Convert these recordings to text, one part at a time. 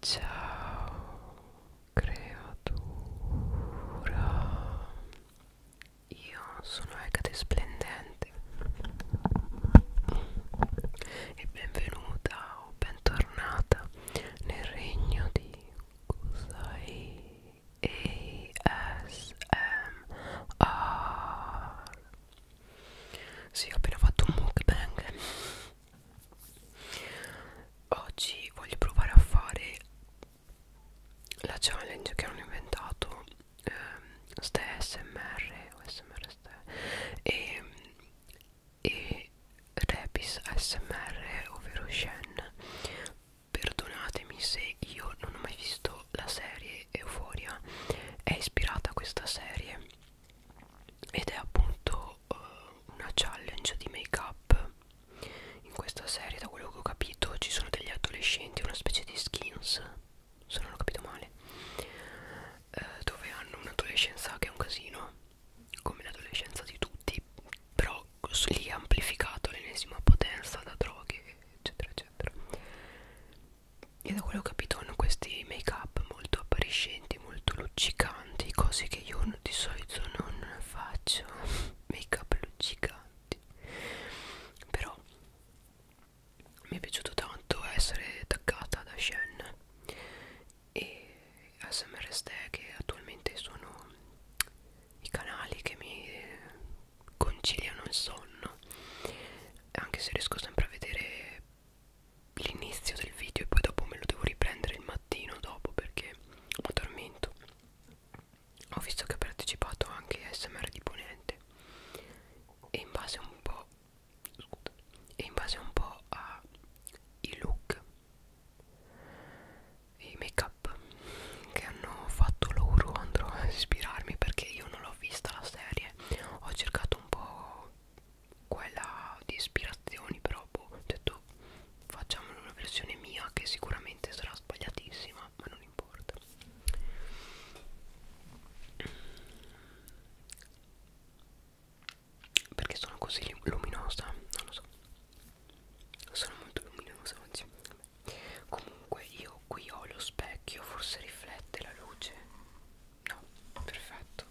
Ciao creatura, io sono Hecate Splendente e benvenuta o bentornata nel regno di Kusai ASMR. Sì, ho appena fatto un mukbang oggi voglio provare a fare la challenge che hanno inventato ehm, ste smr o smr ste e, e Repis smr ovvero Shen perdonatemi se io non ho mai visto la serie Euforia è ispirata a questa serie ed è appunto uh, una challenge di make up in questa serie da quello che ho capito ci sono degli adolescenti una specie di skins se non ho capito male uh, dove hanno un'adolescenza che è un casino come l'adolescenza di tutti però lì è amplificato l'ennesima potenza da droghe eccetera eccetera e da quello che ho capito hanno questi make up molto appariscenti molto luccicanti giganti cose che io di solito non faccio make up giganti però mi è piaciuto tanto essere taggata da Shen H&M e SMRST che attualmente sono i canali che mi conciliano il sonno anche se riesco sempre a vedere l'inizio del video e poi dopo me lo devo riprendere il mattino dopo perché mi addormento ho visto che ha partecipato anche SMR di Ponente e in base un po' scusa, e in base un po' ai look i make up che hanno fatto loro andrò a ispirarmi perché io non l'ho vista la serie ho cercato un po' quella di ispirazioni però boh, ho detto facciamone una versione mia che sicuramente sarà sbagliatissima ma non importa perché sono così luminosa non lo so sono molto luminosa oggi comunque io qui ho lo specchio forse riflette la luce no perfetto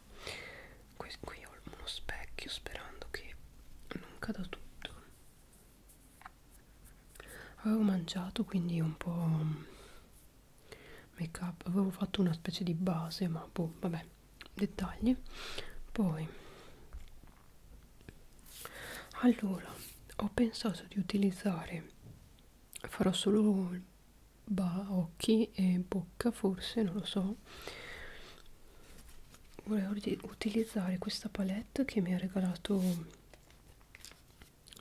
qui, qui ho uno specchio sperando che non cada tutto avevo mangiato quindi un po' make up avevo fatto una specie di base ma boh vabbè dettagli poi allora ho pensato di utilizzare farò solo bah, occhi e bocca forse, non lo so volevo utilizzare questa palette che mi ha regalato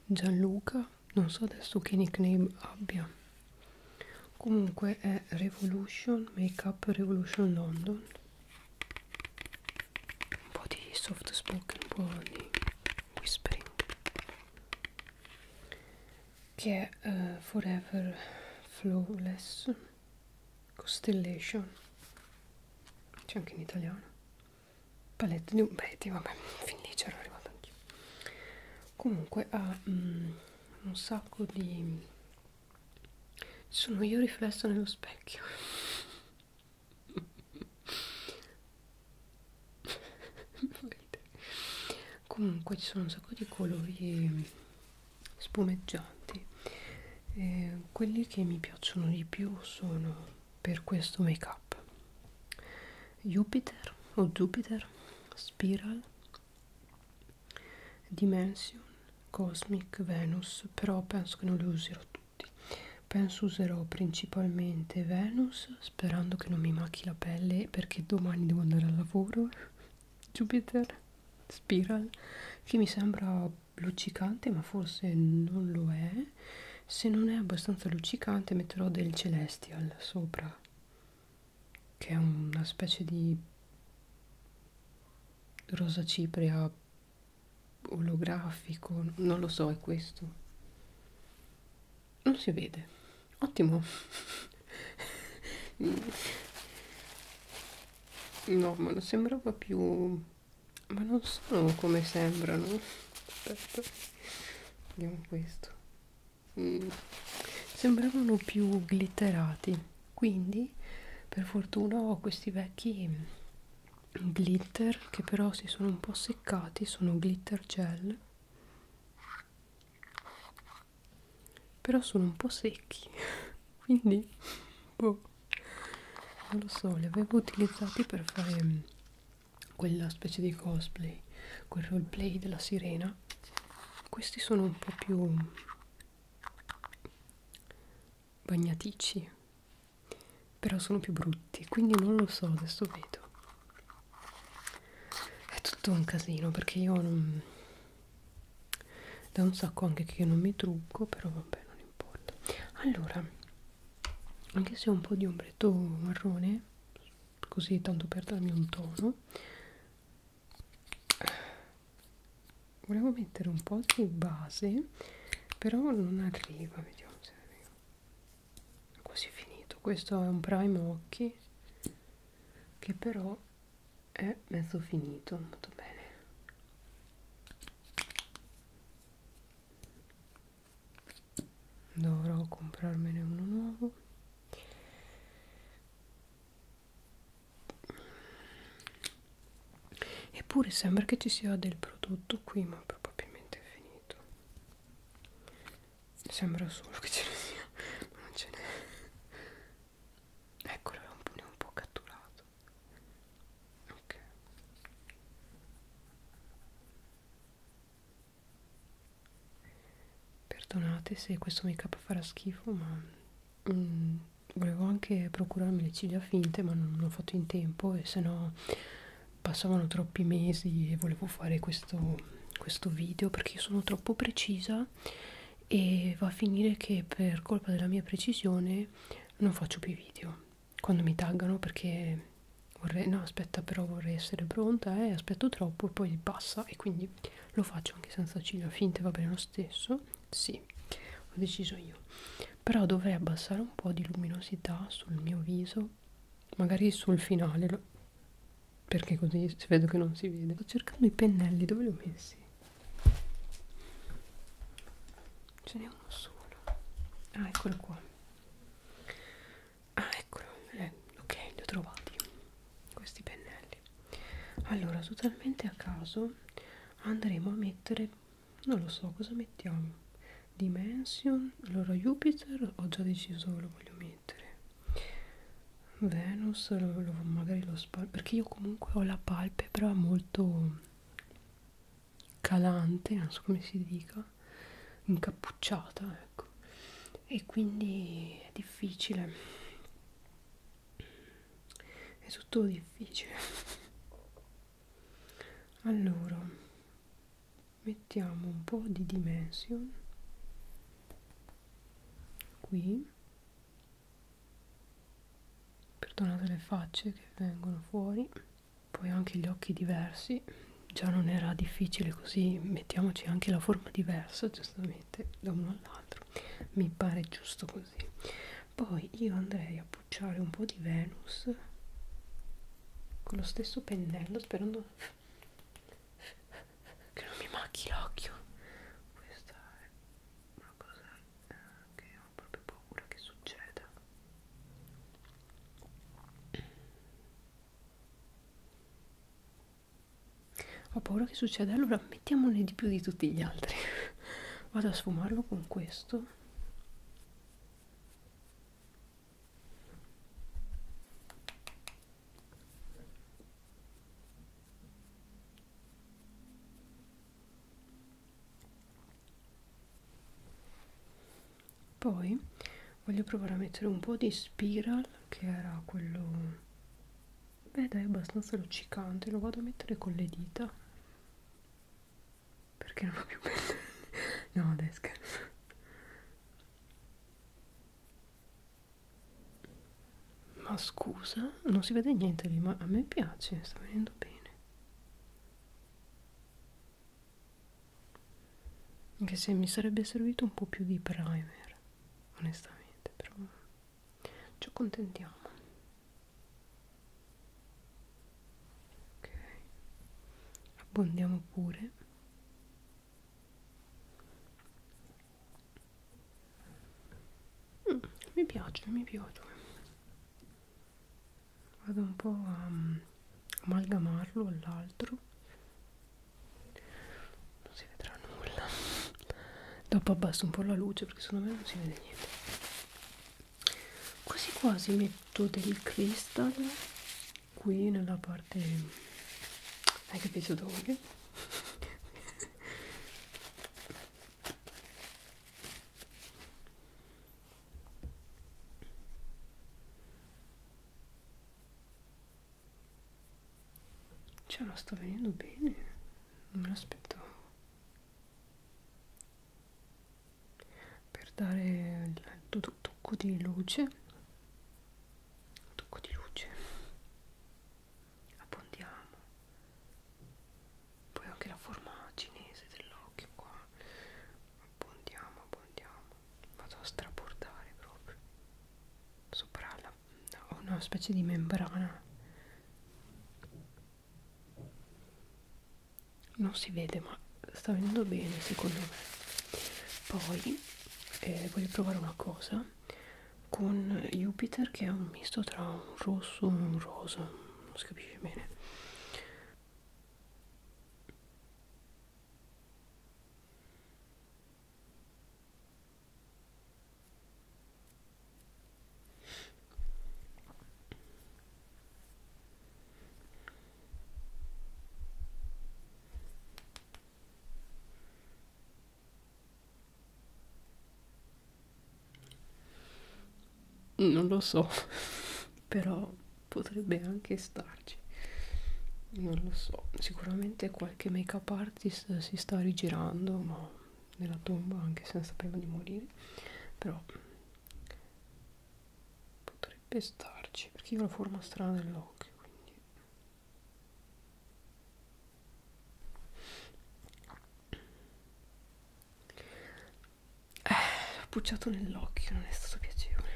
Gianluca non so adesso che nickname abbia comunque è Revolution Makeup Revolution London un po' di soft spoken un po' di whispering che è uh, Forever Flawless Constellation c'è anche in italiano palette di un Betty, vabbè, fin lì c'ero arrivata anch'io comunque ha um, un sacco di sono io riflessa nello specchio comunque ci sono un sacco di colori ehm, spumeggianti eh, quelli che mi piacciono di più sono per questo make up Jupiter o Jupiter Spiral Dimension Cosmic Venus però penso che non li userò tutti penso userò principalmente Venus sperando che non mi macchi la pelle perché domani devo andare al lavoro Jupiter Spiral che mi sembra luccicante ma forse non lo è se non è abbastanza luccicante metterò del Celestial sopra che è una specie di rosa cipria olografico non lo so è questo non si vede ottimo no ma non sembrava più ma non sono come sembrano aspetta vediamo questo mm. sembravano più glitterati quindi per fortuna ho questi vecchi glitter che però si sono un po' seccati sono glitter gel però sono un po' secchi quindi boh, non lo so li avevo utilizzati per fare mm, quella specie di cosplay quel roleplay della sirena questi sono un po' più mm, bagnaticci però sono più brutti quindi non lo so adesso vedo è tutto un casino perché io non da un sacco anche che non mi trucco però vabbè non importa allora anche se ho un po' di ombretto marrone così tanto per darmi un tono volevo mettere un po' di base però non arriva vediamo se arriva quasi finito questo è un prime occhi che però è mezzo finito molto bene dovrò comprarmene uno nuovo eppure sembra che ci sia del prodotto qui ma probabilmente è finito Sembra solo che ce ne sia, ma non ce n'è. Eccolo, è un pune un po' catturato. Ok. Perdonate se questo make up farà schifo, ma mm, volevo anche procurarmi le ciglia finte, ma non, non ho fatto in tempo e se no passavano troppi mesi e volevo fare questo, questo video perché io sono troppo precisa e va a finire che per colpa della mia precisione non faccio più video quando mi taggano perché vorrei no aspetta però vorrei essere pronta e eh, aspetto troppo e poi passa e quindi lo faccio anche senza ciglia finte va bene lo stesso sì ho deciso io però dovrei abbassare un po' di luminosità sul mio viso magari sul finale lo... perché così vedo che non si vede sto cercando i pennelli dove li ho messi ce n'è uno solo ah eccolo qua ah eccolo eh, ok li ho trovati questi pennelli allora totalmente a caso andremo a mettere non lo so cosa mettiamo Dimension, allora Jupiter ho già deciso dove lo voglio mettere. Venus lo, lo, magari lo spalmo perché io comunque ho la palpebra molto calante, non so come si dica, incappucciata, ecco. E quindi è difficile. È tutto difficile. Allora mettiamo un po' di dimension qui perdonate le facce che vengono fuori poi anche gli occhi diversi già non era difficile così mettiamoci anche la forma diversa giustamente da uno all'altro mi pare giusto così poi io andrei a pucciare un po' di Venus con lo stesso pennello sperando che non mi macchi l'occhio questa è una cosa eh, che ho proprio paura che succeda ho paura che succeda allora mettiamone di più di tutti gli altri vado a sfumarlo con questo poi voglio provare a mettere un po' di spiral che era quello beh dai, è abbastanza luccicante, lo vado a mettere con le dita perché non ho più pelle no dai scherzo ma scusa non si vede niente lì ma a me piace sta venendo bene anche se mi sarebbe servito un po' più di primer onestamente però ci accontentiamo ok abbondiamo pure mm, mi piace mi piace vado un po' a um, amalgamarlo all'altro non si vedrà nulla dopo abbasso un po' la luce perché secondo me non si vede niente quasi quasi metto del cristallo qui nella parte hai capito dove? cioè lo sto venendo bene non me l'aspettavo per dare il tocco di luce tocco di luce abbondiamo poi anche la forma cinese dell'occhio qua abbondiamo abbondiamo vado a strabordare proprio sopra la, ho una specie di membrana non si vede ma sta venendo bene secondo me poi eh, voglio provare una cosa con Jupiter che è un misto tra un rosso e un rosa non si capisce bene non lo so, però potrebbe anche starci. Non lo so, sicuramente qualche make-up artist si sta rigirando, ma nella tomba anche se non sapeva di morire, però potrebbe starci perché io ho la forma strana dell'occhio quindi eh, ho pucciato nell'occhio non è stato piacevole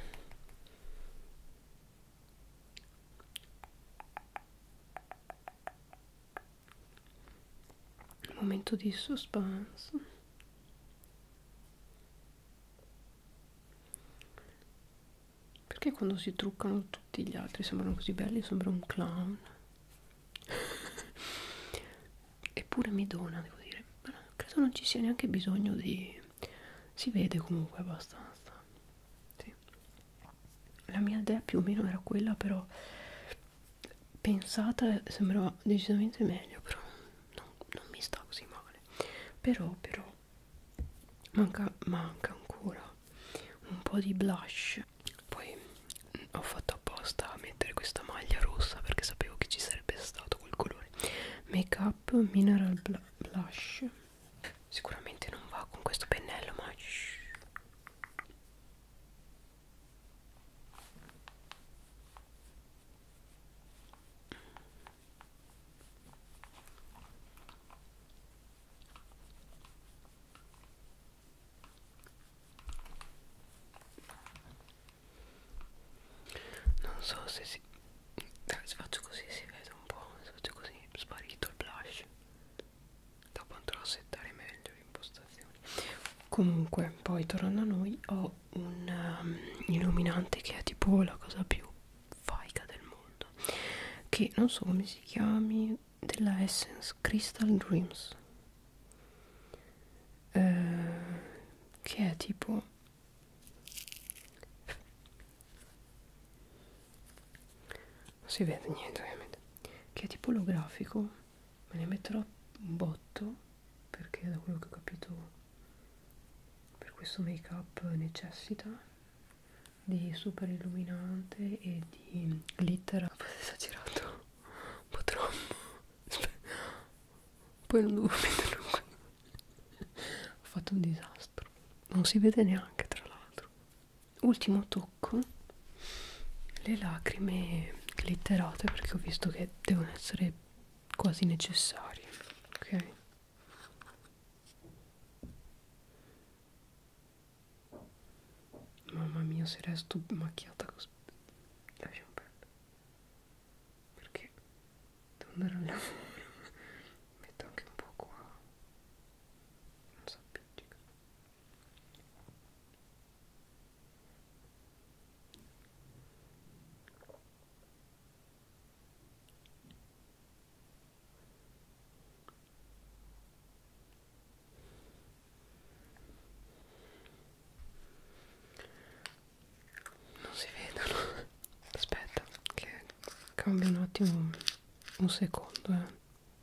momento di suspense perché quando si truccano tutti gli altri sembrano così belli, sembra un clown. Eppure mi dona, devo dire. Ma credo non ci sia neanche bisogno di... Si vede comunque abbastanza. Sì. La mia idea più o meno era quella, però pensata sembrava decisamente meglio però non, non mi sta così male però però manca, manca ancora un po' di blush poi mm, ho fatto apposta a mettere questa maglia rossa perché sapevo che ci sarebbe stato quel colore make up mineral blush sicuramente non va con questo pennello ma non so se si... Dai, se faccio così si vede un po', se faccio così sparito il blush. Dopo andrò a settare meglio le impostazioni comunque poi tornando a noi ho un um, illuminante che è tipo la cosa più faica del mondo che non so come si chiami della Essence Crystal Dreams eh, che è tipo non si vede niente ovviamente che è tipo olografico me ne metterò un botto perché da quello che ho capito per questo make up necessita di super illuminante e di glitter ho esagerato un po' troppo Aspetta. poi non devo metterlo qui ho fatto un disastro non si vede neanche tra l'altro ultimo tocco le lacrime glitterate perché ho visto che devono essere quasi necessarie ok mamma mia se resto macchiata così lasciamo perdere perché devo andare al lavoro metto anche un po' qua non so più non si vedono aspetta che cambia un attimo un secondo eh.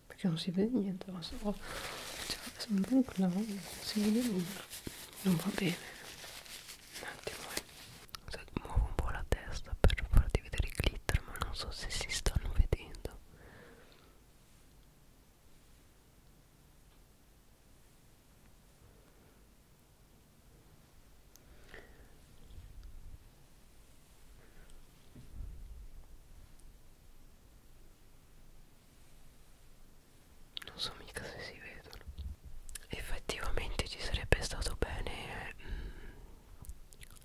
perché non si vede niente ma so, cioè, sono un po' si vede nulla non va bene un attimo eh. muovo un po' la testa per farti vedere i glitter ma non so se si stanno vedendo non so mica se si vedono effettivamente ci sarebbe stato bene mh, mm,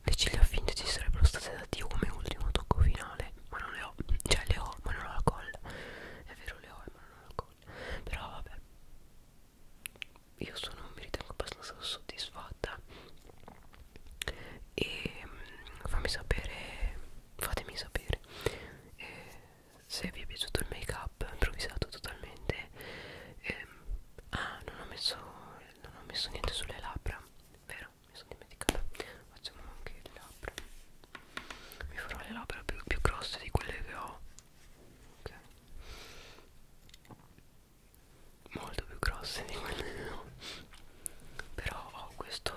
le ciglia finte ci sarebbero state da dio come ultimo tocco finale ma non le ho cioè le ho ma non ho la colla è vero le ho ma non ho la colla però vabbè io sono mi ritengo abbastanza soddisfatta e mm, fammi sapere fatemi sapere eh, se vi è piaciuto il make up improvvisato totalmente eh, ah non ho messo non ho messo niente sulle labbra vero mi sono dimenticata facciamo anche le labbra mi farò le labbra più, più grosse di quelle che ho ok molto più grosse di quelle che ho però ho questo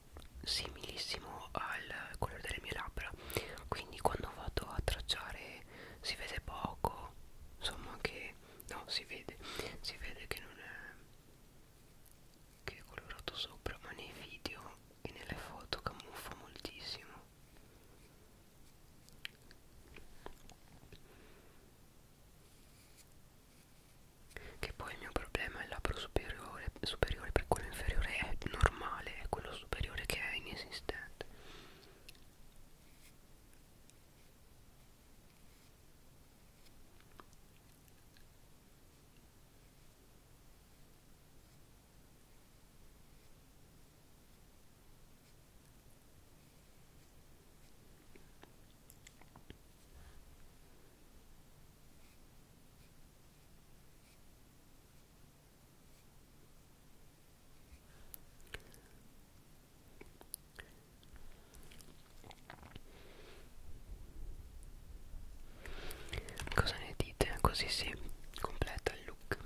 similissimo al colore delle mie labbra quindi quando vado a tracciare si vede poco insomma che no si vede si vede che non è che è colorato sopra ma nei video e nelle foto camuffa moltissimo che poi il mio problema è il labbro superiore superiore, superiore per quello inferiore è normale, è quello superiore che è inesistente. Cosa ne dite? Così si completa il look.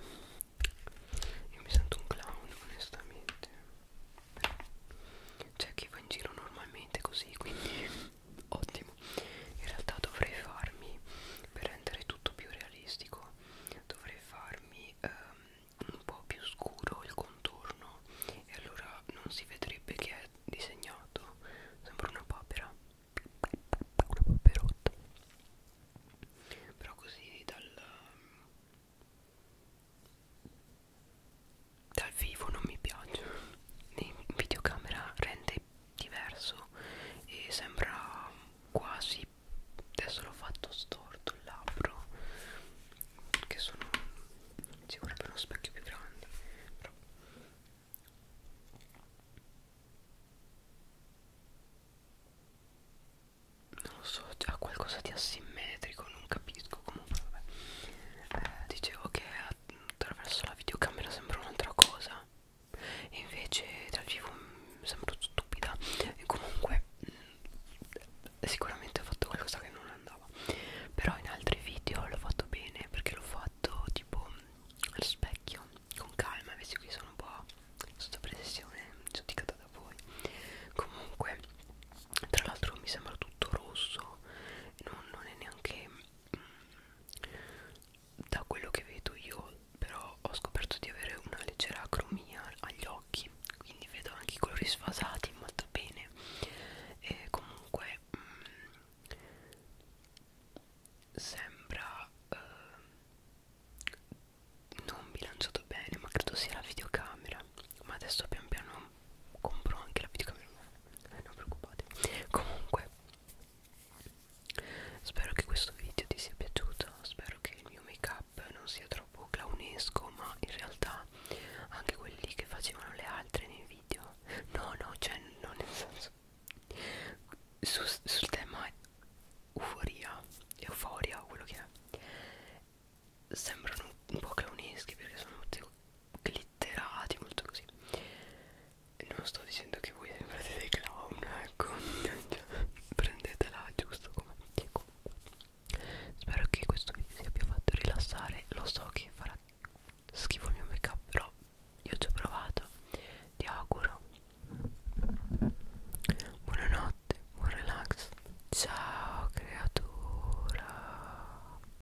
Io mi sento un clown, onestamente. C'è chi va in giro normalmente così, quindi ottimo in realtà dovrei farmi per rendere tutto più realistico dovrei farmi um, un po' più scuro il contorno e allora non si vedrebbe che è disegnato sembra una papera una paperotta però così dal dal vivo non mi piace in videocamera rende magari diverso e sembra quasi adesso l'ho fatto storto il labbro che sono si vorrebbe uno specchio più grande però non lo so, ha qualcosa di asimmetrico, non capisco comunque vabbè eh, dicevo che attraverso la videocamera sembra un'altra cosa e invece dal vivo mm, sembro stupida e comunque mm, sicuramente ho fatto qualcosa che non andava però in altri video l'ho fatto bene perché l'ho fatto tipo allo specchio con calma invece qui sono un po' sotto pressione giudicata da voi comunque tra l'altro mi sembra tutto rosso non, non è neanche da quello che vedo io però ho scoperto di avere una leggera acromia agli occhi quindi vedo anche i colori sfasati molto bene e comunque mh, mm, sembra eh, non bilanciato bene ma credo sia la videocamera ma adesso pian piano compro anche la videocamera nuova non preoccupate comunque spero che questo video ti sia piaciuto spero che il mio make up non sia troppo clownesco ma in realtà anche quelli che facevano le altre nei video no no cioè non nel senso su, sul tema euforia euforia quello che è sembrano un po' clowneschi perché sono tutti glitterati, molto così. Non sto dicendo che voi sembrate dei clown, ecco. Prendetela giusto come dico. Spero che questo video vi abbia fatto rilassare. Lo so che farà schifo il mio make up, però io ci ho provato. Ti auguro. Buonanotte, buon relax. Ciao creatura.